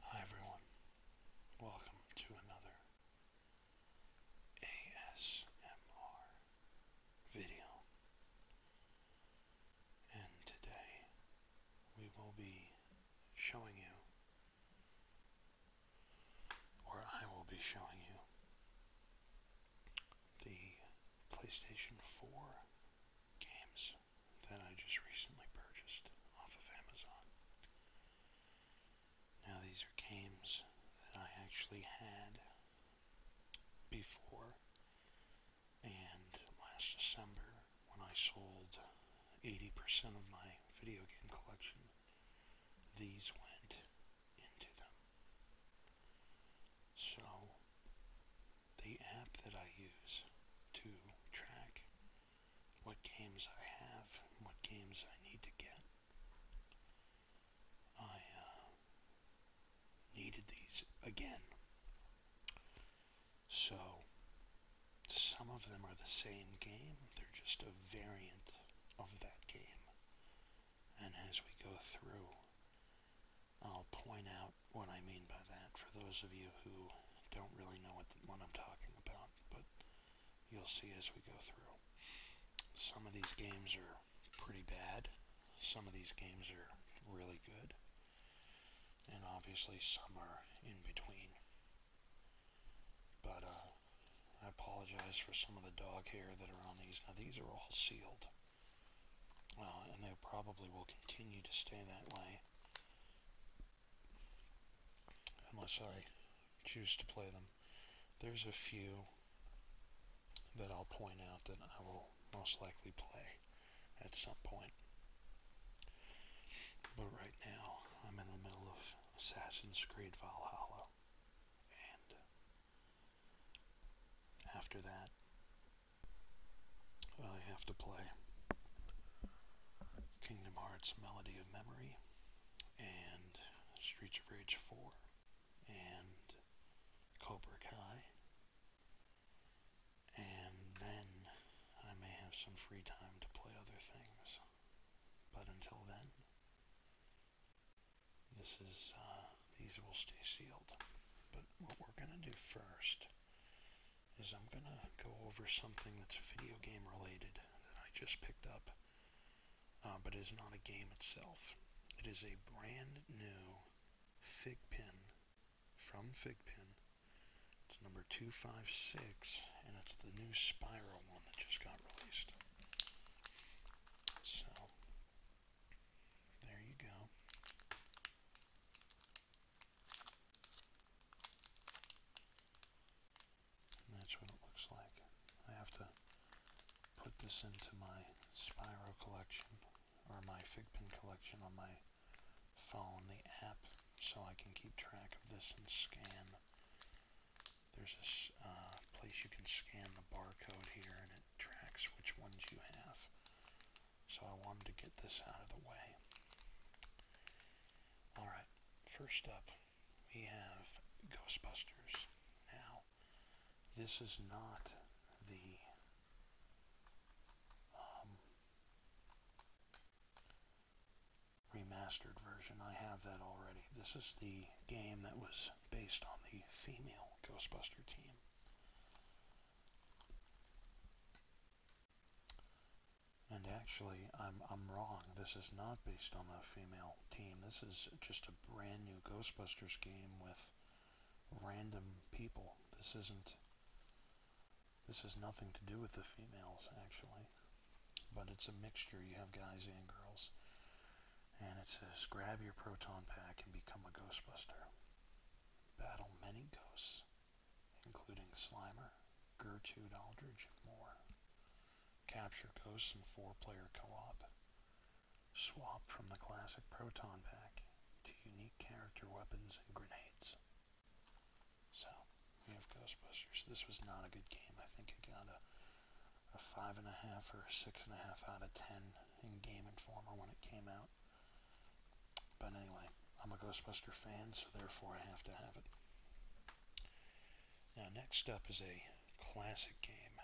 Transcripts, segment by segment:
Hi everyone, welcome to another ASMR video, and today we will be showing you, or I will be showing you, the PlayStation 4 games that I just recently purchased off of Amazon. Now these are games that I actually had before and last December when I sold 80% of my video game collection, these went into them. So the app that I use to track what games I have, what games I need to get. I uh, needed these again. So, some of them are the same game, they're just a variant of that game. And as we go through, I'll point out what I mean by that for those of you who don't really know what, the, what I'm talking about, but you'll see as we go through. Some of these games are pretty bad, some of these games are really good, and obviously some are in between. But uh, I apologize for some of the dog hair that are on these. Now these are all sealed, uh, and they probably will continue to stay that way unless I choose to play them. There's a few that I'll point out that I will most likely play at some point. But right now, I'm in the middle of Assassin's Creed Valhalla. And after that, I have to play Kingdom Hearts Melody of Memory and Streets of Rage 4 and Cobra Kai and then I may have some free time to play other things but until then this is uh, these will stay sealed but what we're gonna do first is I'm going to go over something that's video game related that I just picked up, uh, but is not a game itself. It is a brand new Figpin from Figpin. It's number 256, and it's the new Spiral one that just got released. So, there you go that's what it looks like. I have to put this into my Spyro collection or my Figpin collection on my phone, the app, so I can keep track of this and scan. There's this uh, place you can scan the barcode here and it tracks which ones you have. So I wanted to get this out of the way. Alright, first up, we have Ghostbusters. Now, this is not the um, remastered version. I have that already. This is the game that was based on the female Ghostbuster team. And actually, I'm, I'm wrong. This is not based on the female team. This is just a brand new Ghostbusters game with random people. This isn't... This has nothing to do with the females, actually. But it's a mixture. You have guys and girls. And it says, grab your proton pack and become a Ghostbuster. Battle many ghosts including Slimer, Gertrude Aldridge, and more. Capture Ghosts in four-player co-op. Swap from the classic Proton Pack to unique character weapons and grenades. So, we have Ghostbusters. This was not a good game. I think it got a, 5.5 or 6.5 out of 10 in Game Informer when it came out. But anyway, I'm a Ghostbuster fan, so therefore I have to have it. Now, next up is a classic game,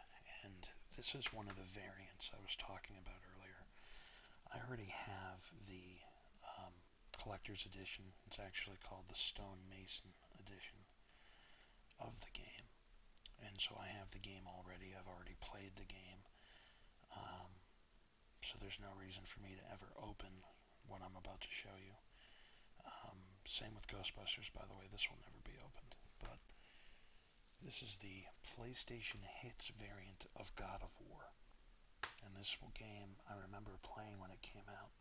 and this is one of the variants I was talking about earlier. I already have the um, collector's edition. It's actually called the Stonemason edition of the game. And so I have the game already. I've already played the game. Um, so there's no reason for me to ever open what I'm about to show you. Um, same with Ghostbusters, by the way, this will never be opened, but this is the PlayStation Hits variant of God of War. And this game I remember playing when it came out.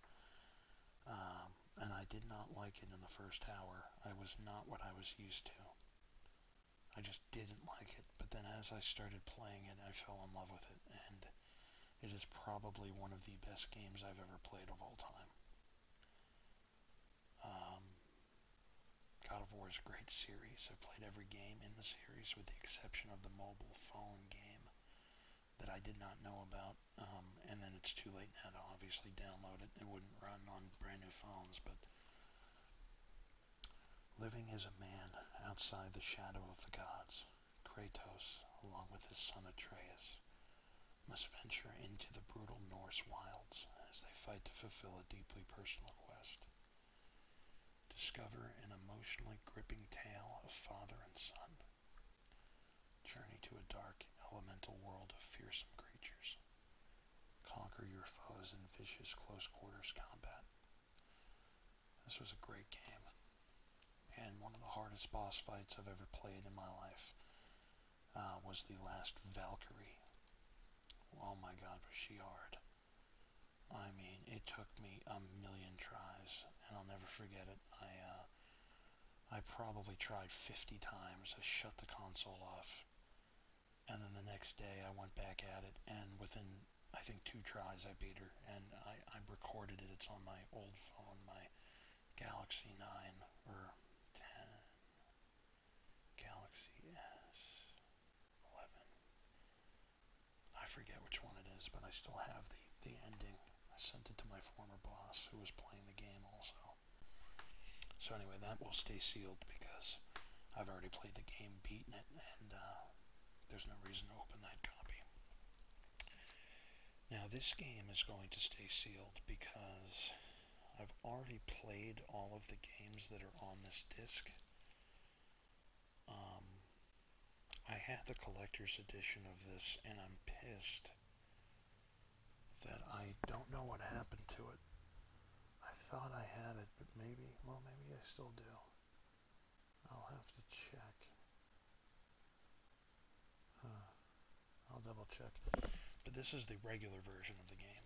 Um, and I did not like it in the first hour. I was not what I was used to. I just didn't like it. But then as I started playing it, I fell in love with it. And it is probably one of the best games I've ever played of all time. Um, God of War is a great series. I've played every game in the series with the exception of the mobile phone game that I did not know about. Um, and then it's too late now to obviously download it. It wouldn't run on brand new phones, but Living as a man outside the shadow of the gods, Kratos, along with his son Atreus, must venture into the brutal Norse wilds as they fight to fulfill a deeply personal quest. Discover an emotionally gripping tale of father and son. Journey to a dark, elemental world of fearsome creatures. Conquer your foes in vicious close quarters combat. This was a great game, and one of the hardest boss fights I've ever played in my life uh, was the last Valkyrie. Oh my god, was she hard! I mean, it took me a million tries, and I'll never forget it. I uh, I probably tried 50 times. I shut the console off, and then the next day I went back at it, and within I think two tries I beat her, and I, I recorded it. It's on my old phone, my Galaxy 9 or 10, Galaxy S 11. I forget which one it is, but I still have the, the ending. I sent it to my former boss who was playing the game also. So anyway, that will stay sealed because I've already played the game, beaten it, and uh, there's no reason to open that copy. Now this game is going to stay sealed because I've already played all of the games that are on this disc. Um, I had the collector's edition of this and I'm pissed that I don't know what happened to it. I thought I had it, but maybe, well, maybe I still do. I'll have to check. I'll double check. But this is the regular version of the game.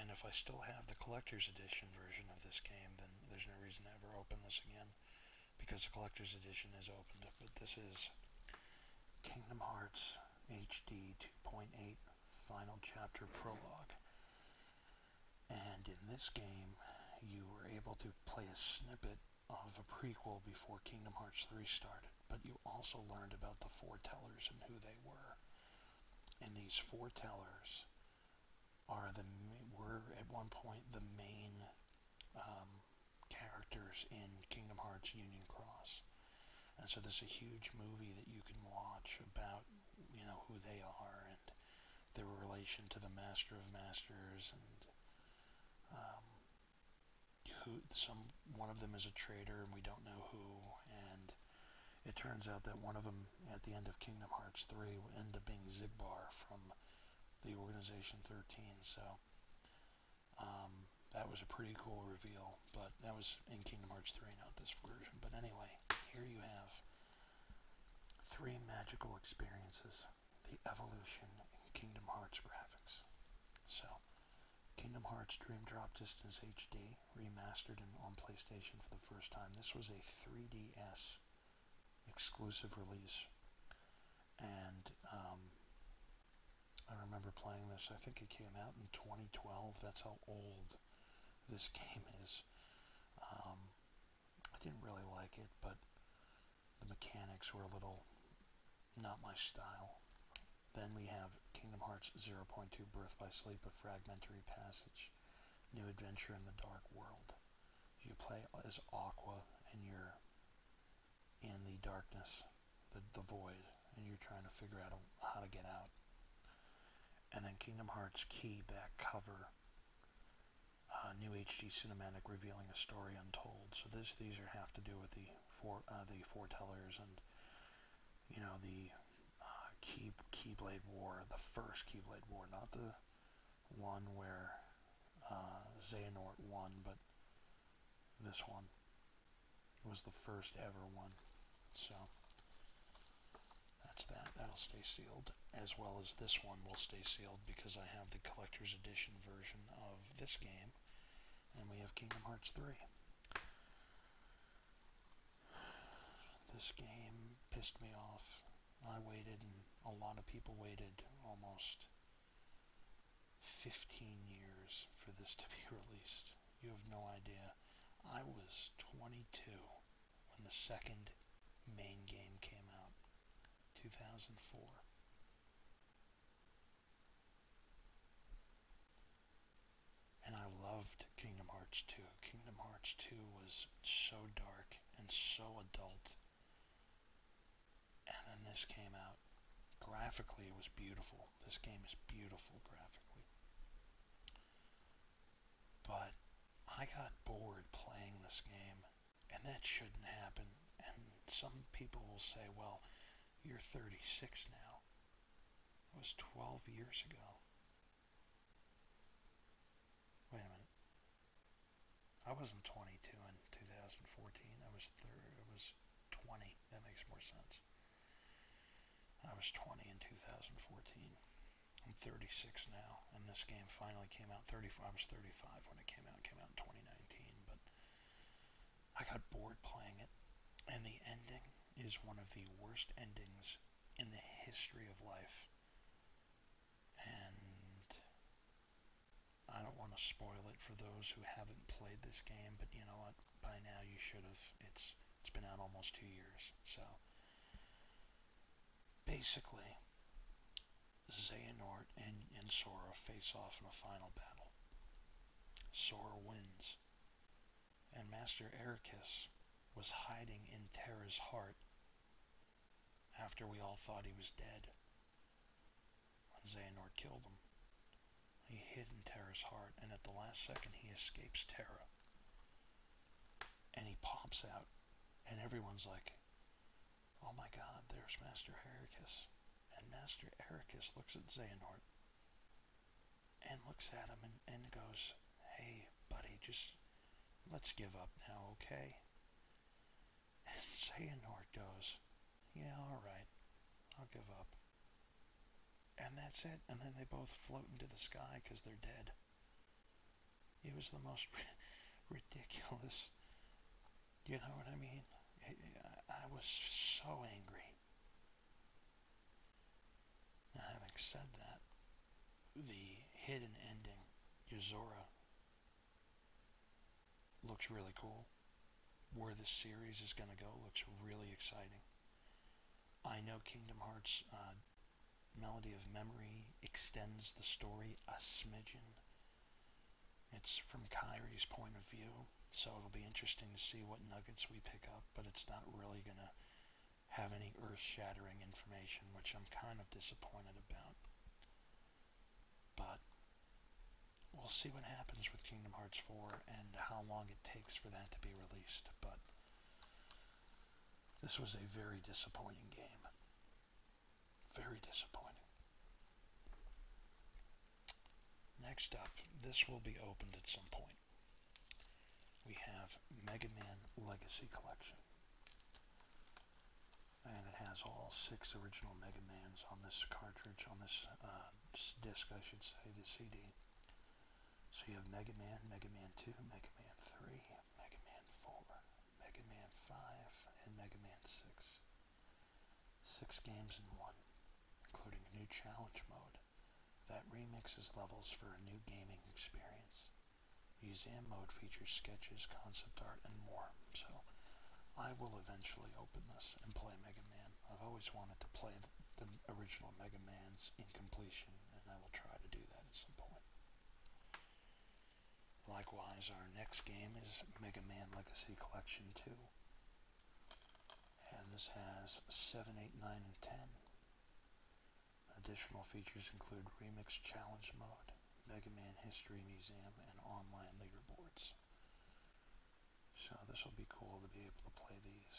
And if I still have the collector's edition version of this game, then there's no reason to ever open this again. Because the collector's edition is opened. But this is Kingdom Hearts HD 2.8 Final Chapter Prologue. And in this game, you were able to play a snippet of a prequel before Kingdom Hearts 3 started, but you also learned about the foretellers and who they were. And these foretellers are the were at one point the main um, characters in Kingdom Hearts Union Cross. And so there's a huge movie that you can watch about you know who they are their relation to the Master of Masters, and um, who some one of them is a traitor, and we don't know who. And it turns out that one of them at the end of Kingdom Hearts 3 will end up being Zigbar from the Organization 13. So um, that was a pretty cool reveal, but that was in Kingdom Hearts 3, not this version. But anyway, here you have. Three magical experiences, the evolution in Kingdom Hearts graphics. So, Kingdom Hearts Dream Drop Distance HD remastered and on PlayStation for the first time. This was a 3DS exclusive release, and um, I remember playing this. I think it came out in 2012. That's how old this game is. Um, I didn't really like it, but the mechanics were a little not my style. Then we have Kingdom Hearts 0.2 Birth by Sleep, A Fragmentary Passage, New Adventure in the Dark World. You play as Aqua and you're in the darkness, the, the void, and you're trying to figure out how to get out and then Kingdom Hearts Key back cover. Uh, new HD cinematic revealing a story untold. So this these are have to do with the four uh, the foretellers and you know the uh, key Keyblade War, the first Keyblade War, not the one where uh, Xehanort won, but this one it was the first ever one. So that's that. That'll stay sealed, as well as this one will stay sealed because I have the collector's edition version of this game, and we have Kingdom Hearts 3. This game pissed me off. I waited, and a lot of people waited almost 15 years for this to be released. You have no idea. I was 22 when the second main game came out, 2004. And I loved Kingdom Hearts 2. Kingdom Hearts 2 was so dark and so adult. And then this came out. Graphically, it was beautiful. This game is beautiful graphically. But I got bored playing this game, and that shouldn't happen. And some people will say, well, you're 36 now. It was 12 years ago. Wait a minute. I wasn't 22 in 2014. I was thir I was 20. That makes more sense. I was 20 in 2014. I'm 36 now, and this game finally came out. 35, I was 35 when it came out. It came out in 2019, but I got bored playing it, and the ending is one of the worst endings in the history of life. And I don't want to spoil it for those who haven't played this game, but you know what? By now you should have. It's it's been out almost two years, so Basically, Xehanort and, and Sora face off in a final battle. Sora wins, and Master Ericus was hiding in Terra's heart after we all thought he was dead. When Xehanort killed him, he hid in Terra's heart, and at the last second he escapes Terra. And he pops out and everyone's like, oh my god, there's Master Ericus. And Master Ericus looks at Xehanort and looks at him and, goes, hey, buddy, just let's give up now, okay? And Xehanort goes, yeah, all right, I'll give up. And that's it. And then they both float into the sky because they're dead. It was the most ridiculous. You know what I mean? I was so angry. having said that, the hidden ending, Yazora, looks really cool. Where this series is going to go looks really exciting. I know Kingdom Hearts uh, melody of memory extends the story a smidgen. It's from Kyrie's point of view, so it'll be interesting to see what nuggets we pick up, but it's not really going to have any earth-shattering information, which I'm kind of disappointed about. But we'll see what happens with Kingdom Hearts 4 and how long it takes for that to be released, but this was a very disappointing game. Very disappointing. Next up, this will be opened at some point. We have Mega Man Legacy Collection. And it has all six original Mega Mans on this cartridge, on this uh, disc, I should say, the CD. So you have Mega Man, Mega Man 2, Mega Man 3, Mega Man 4, Mega Man 5, and Mega Man 6. Six games in one, including a new challenge mode that remixes levels for a new gaming experience. Museum mode features sketches, concept art, and more, so I will eventually open this and play Mega Man. I've always wanted to play the original Mega Man's in completion, and I will try to do that at some point. Likewise, our next game is Mega Man Legacy Collection 2. And this has 7, 8, 9, and 10. Additional features include Remix Challenge Mode, Mega Man History Museum, and online leaderboards. So this will be cool to be able to play these.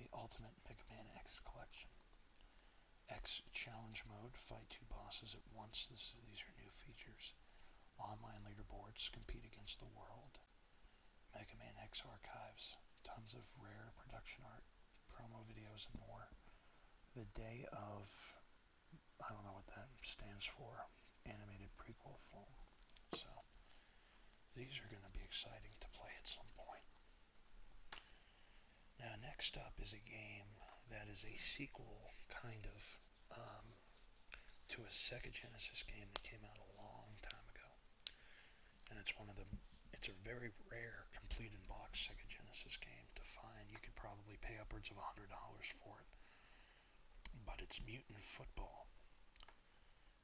the Ultimate Mega Man X collection. X Challenge Mode, fight two bosses at once. This, these are new features. Online leaderboards, compete against the world. Mega Man X archives, tons of rare production art, promo videos, and more. The day of, I don't know what that stands for, animated prequel film. So, these are going to be exciting to play at some point. Now, next up is a game that is a sequel, kind of, um, to a Sega Genesis game that came out a long time ago. And it's one of the, it's a very rare complete in box Sega Genesis game to find. You could probably pay upwards of $100 for it. But it's Mutant Football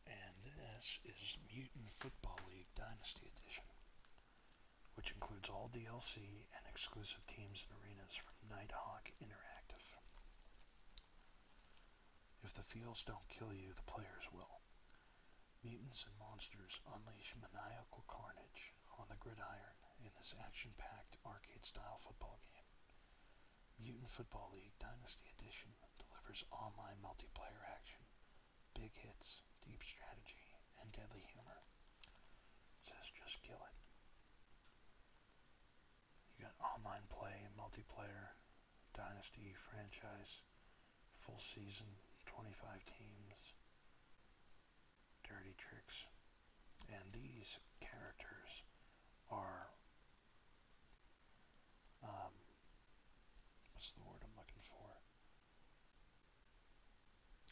and this is Mutant Football League Dynasty Edition, which includes all DLC and exclusive teams and arenas from Nighthawk Interactive. If the fields don't kill you, the players will. Mutants and monsters unleash maniacal carnage on the gridiron in this action-packed arcade-style football game. Mutant Football League Dynasty Edition delivers online multiplayer action, big hits, deep strategy, and deadly humor. It says just kill it. You got online play, multiplayer, dynasty, franchise, full season, 25 teams, dirty tricks. And these characters are um, what's the word I'm looking for?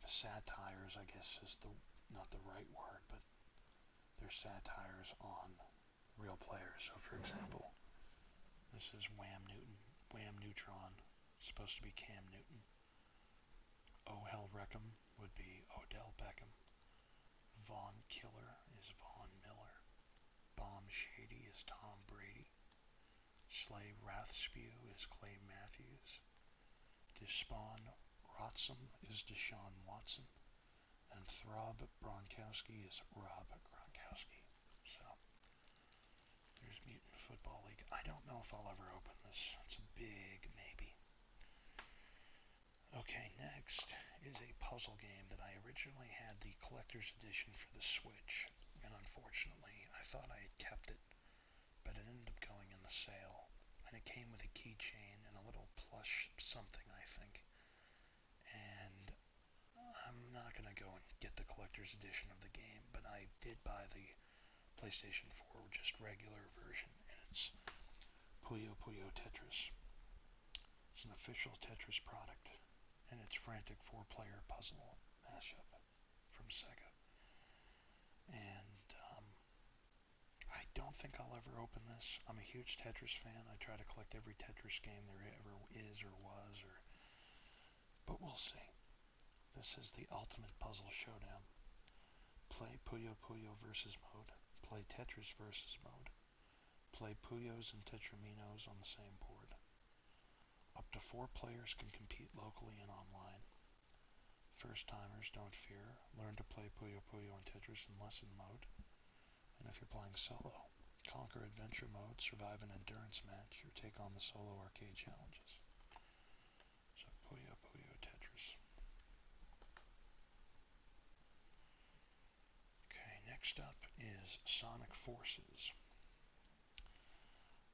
Satires, I guess, is the not the right word, but they're satires on real players. So, for example, this is Wham Newton, Wham Neutron, supposed to be Cam Newton. Oh Hell Reckham would be Odell Beckham. Vaughn Killer is Vaughn Miller. Bomb Shady is Tom Brady. Slave Rathspew is Clay Matthews. Despawn Rotsum is Deshaun Watson. And Throb Bronkowski is Rob Gronkowski. So, there's Mutant Football League. I don't know if I'll ever open this. It's a big maybe. Okay, next is a puzzle game that I originally had the collector's edition for the Switch, and unfortunately, I thought I had kept it, but it ended up going in the sale, and it came with a keychain and a little plush something, I think. And I'm not going to go and get the collector's edition of the game, but I did buy the PlayStation 4 just regular version, and it's Puyo Puyo Tetris. It's an official Tetris product and its frantic four player puzzle mashup from Sega. And um, I don't think I'll ever open this. I'm a huge Tetris fan. I try to collect every Tetris game there ever is or was, or but we'll see. This is the ultimate puzzle showdown. Play Puyo Puyo versus mode. Play Tetris versus mode play Puyos and Tetraminos on the same board. Up to four players can compete locally and online. First timers, don't fear. Learn to play Puyo Puyo and Tetris in lesson mode. And if you're playing solo, conquer adventure mode, survive an endurance match, or take on the solo arcade challenges. So Puyo Puyo Tetris. Okay, next up is Sonic Forces.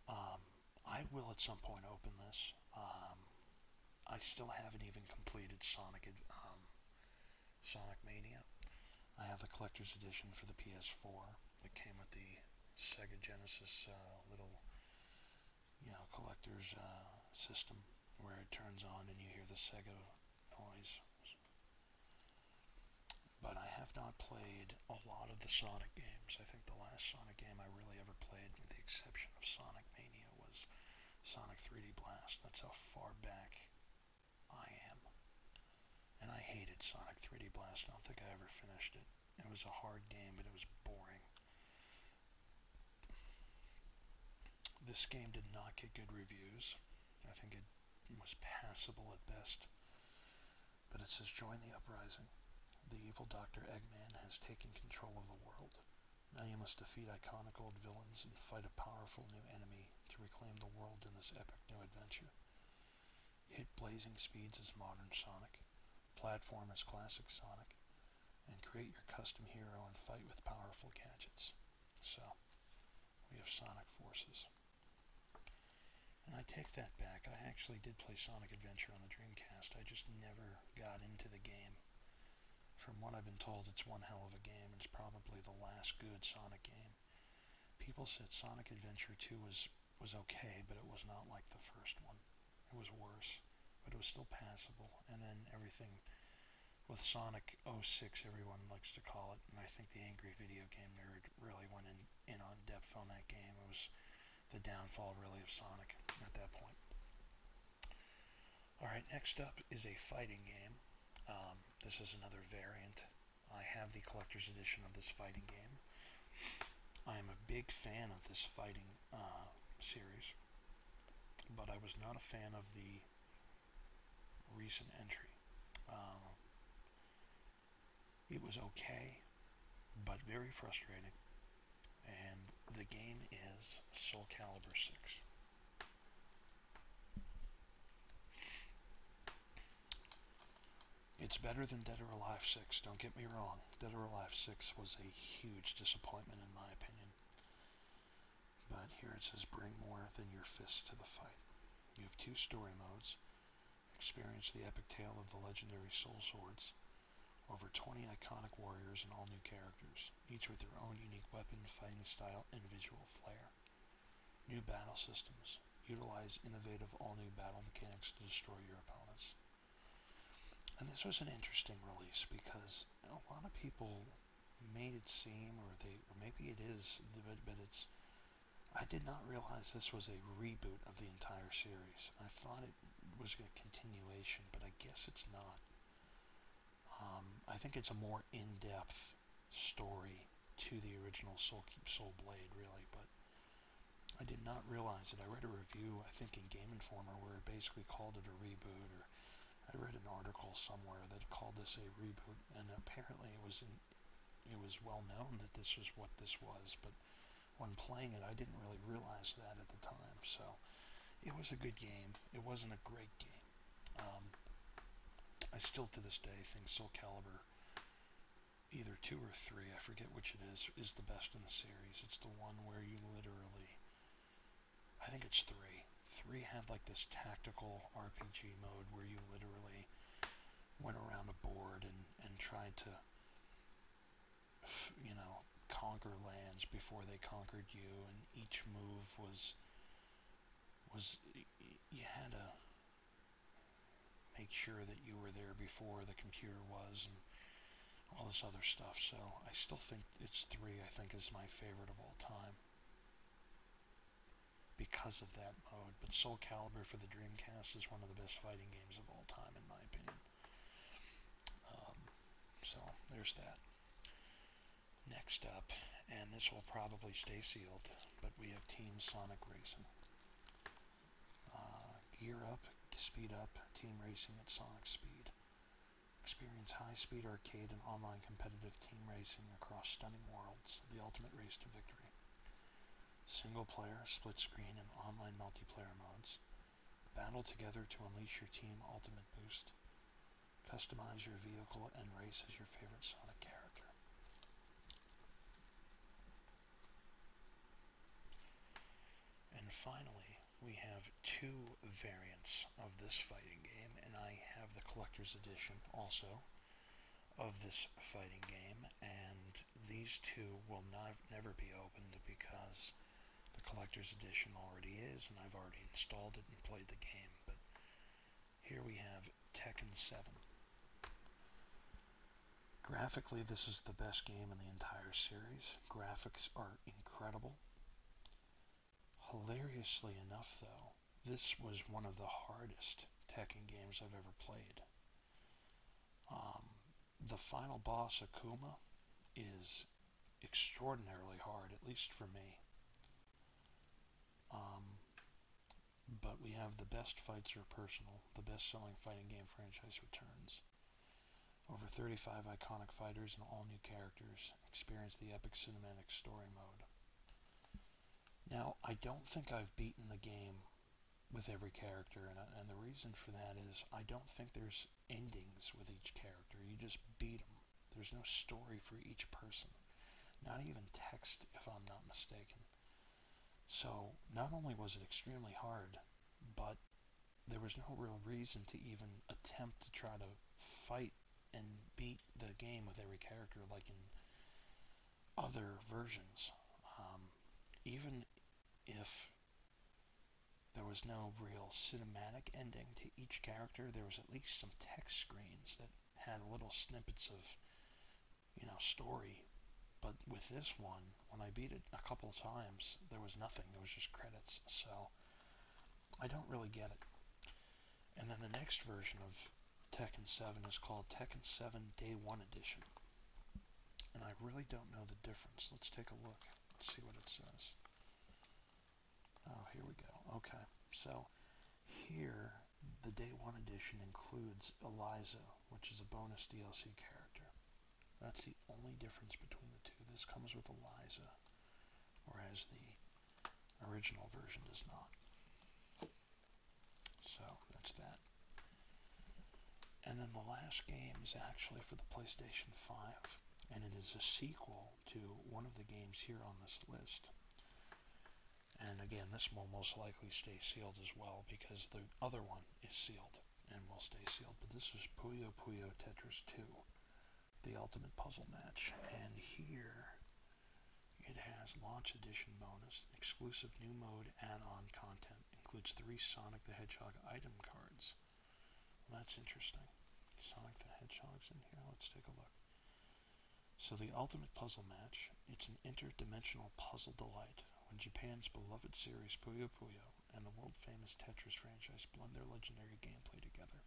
Um, I will at some point open this. Um, I still haven't even completed Sonic um, Sonic Mania. I have the collector's edition for the PS4 that came with the Sega Genesis uh, little, you know, collector's uh, system where it turns on and you hear the Sega noise but I have not played a lot of the Sonic games. I think the last Sonic game I really ever played, with the exception of Sonic Mania, was Sonic 3D Blast. That's how far back I am. And I hated Sonic 3D Blast. I don't think I ever finished it. It was a hard game, but it was boring. This game did not get good reviews. I think it he was passable at best. But it says join the uprising. The evil Dr. Eggman has taken control of the world. Now you must defeat iconic old villains and fight a powerful new enemy to reclaim the world in this epic new adventure. Hit blazing speeds as modern Sonic, platform as classic Sonic, and create your custom hero and fight with powerful gadgets. So, we have Sonic Forces. And I take that back. I actually did play Sonic Adventure on the Dreamcast. I just never got into the game. From what I've been told, it's one hell of a game. It's probably the last good Sonic game. People said Sonic Adventure 2 was, was okay, but it was not like the first one. It was worse, but it was still passable. And then everything with Sonic 06 everyone likes to call it, and I think the angry video game nerd really went in, in on depth on that game. It was the downfall really of Sonic at that point. Alright, next up is a fighting game. Um, this is another variant. I have the collector's edition of this fighting game. I am a big fan of this fighting uh, series, but I was not a fan of the recent entry. Um, it was okay, but very frustrating. And the game is Soul Calibur 6. It's better than Dead or Alive 6, don't get me wrong. Dead or Alive 6 was a huge disappointment in my opinion. But here it says, bring more than your fists to the fight. You have two story modes. Experience the epic tale of the legendary Soul Swords. Over 20 iconic warriors and all new characters, each with their own unique weapon, fighting style, and visual flair. New battle systems. Utilize innovative all-new battle mechanics to destroy your opponents. And this was an interesting release because a lot of people made it seem, or they, or maybe it is, but, but it's I did not realize this was a reboot of the entire series. I thought it was a continuation, but I guess it's not. Um, I think it's a more in-depth story to the original Soul Keep Soul Blade, really. But I did not realize it. I read a review, I think, in Game Informer, where it basically called it a reboot, or I read an article somewhere that called this a reboot, and apparently it was in, it was well known that this was what this was, but when playing it, I didn't really realize that at the time. So it was a good game. It wasn't a great game. Um, I still to this day think Soul Calibur either two or three, I forget which it is, is the best in the series. It's the one where you literally, I think it's three. Three had like this tactical RPG mode where you literally went around a board and, and tried to, you know, conquer lands before they conquered you, and each move was was you had to make sure that you were there before the computer was, and all this other stuff. So I still think it's three. I think is my favorite of all time because of that mode. But Soul Calibur for the Dreamcast is one of the best fighting games of all time, in my opinion. Um, so there's that. Next up, and this will probably stay sealed, but we have Team Sonic Racing. Uh, gear up, speed up, team racing at Sonic speed. Experience high-speed arcade and online competitive team racing across stunning worlds, the ultimate race to victory. Single player, split screen, and online multiplayer modes. Battle together to unleash your team ultimate boost. Customize your vehicle and race as your favorite Sonic character. And finally, we have two variants of this fighting game, and I have the collector's edition also of this fighting game, and these two will not, never be opened because the collector's edition already is, and I've already installed it and played the game. But here we have Tekken 7. Graphically, this is the best game in the entire series. Graphics are incredible. Hilariously enough, though, this was one of the hardest Tekken games I've ever played. Um, the final boss, Akuma, is extraordinarily hard, at least for me. Um, but we have the best fights are personal, the best selling fighting game franchise returns. Over 35 iconic fighters and all new characters experience the epic cinematic story mode. Now, I don't think I've beaten the game with every character, uh, and, the reason for that is I don't think there's endings with each character. You just beat them. There's no story for each person, not even text, if I'm not mistaken. So, not only was it extremely hard, but there was no real reason to even attempt to try to fight and beat the game with every character like in other versions. Um, even if there was no real cinematic ending to each character, there was at least some text screens that had little snippets of, you know, story. But with this one, when I beat it a couple of times, there was nothing. There was just credits. So I don't really get it. And then the next version of Tekken 7 is called Tekken 7 Day 1 Edition. And I really don't know the difference. Let's take a look. let see what it says. Oh, here we go. Okay. So here, the Day 1 Edition includes Eliza, which is a bonus DLC character. That's the only difference between the two. This comes with Eliza, whereas the original version does not. So that's that. And then the last game is actually for the PlayStation 5, and it is a sequel to one of the games here on this list. And again, this will most likely stay sealed as well because the other one is sealed and will stay sealed. But this is Puyo Puyo Tetris 2, the ultimate puzzle match. And here it has Launch Edition bonus, exclusive new mode and on content, includes three Sonic the Hedgehog item cards. that's interesting. Sonic the Hedgehog's in here. Let's take a look. So the Ultimate Puzzle Match, it's an interdimensional puzzle delight when Japan's beloved series Puyo Puyo and the world-famous Tetris franchise blend their legendary gameplay together.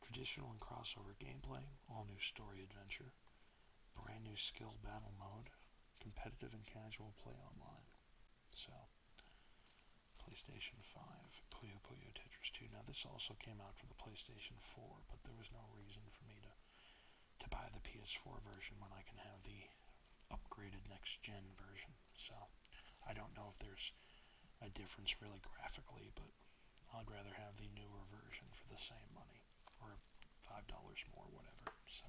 Traditional and crossover gameplay, all-new story adventure, brand new skill battle mode, competitive and casual play online. So, PlayStation 5, Puyo Puyo Tetris 2. Now this also came out for the PlayStation 4, but there was no reason for me to to buy the PS4 version when I can have the upgraded next gen version. So I don't know if there's a difference really graphically, but I'd rather have the newer version for the same money or five dollars more, whatever. So,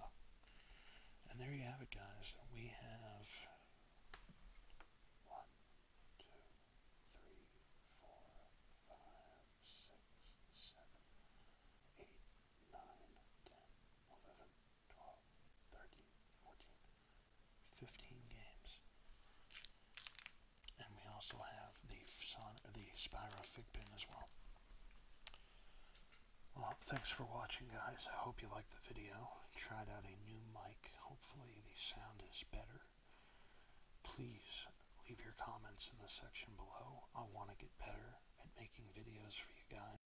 and there you have it, guys. We have one, two, three, four, five, six, seven, eight, nine, ten, eleven, twelve, thirteen, fourteen, fifteen games and we also have the son the Spyro fig pin as well. Well, thanks for watching, guys. I hope you liked the video. Tried out a new mic. Hopefully, the sound is better. Please leave your comments in the section below. I want to get better at making videos for you guys.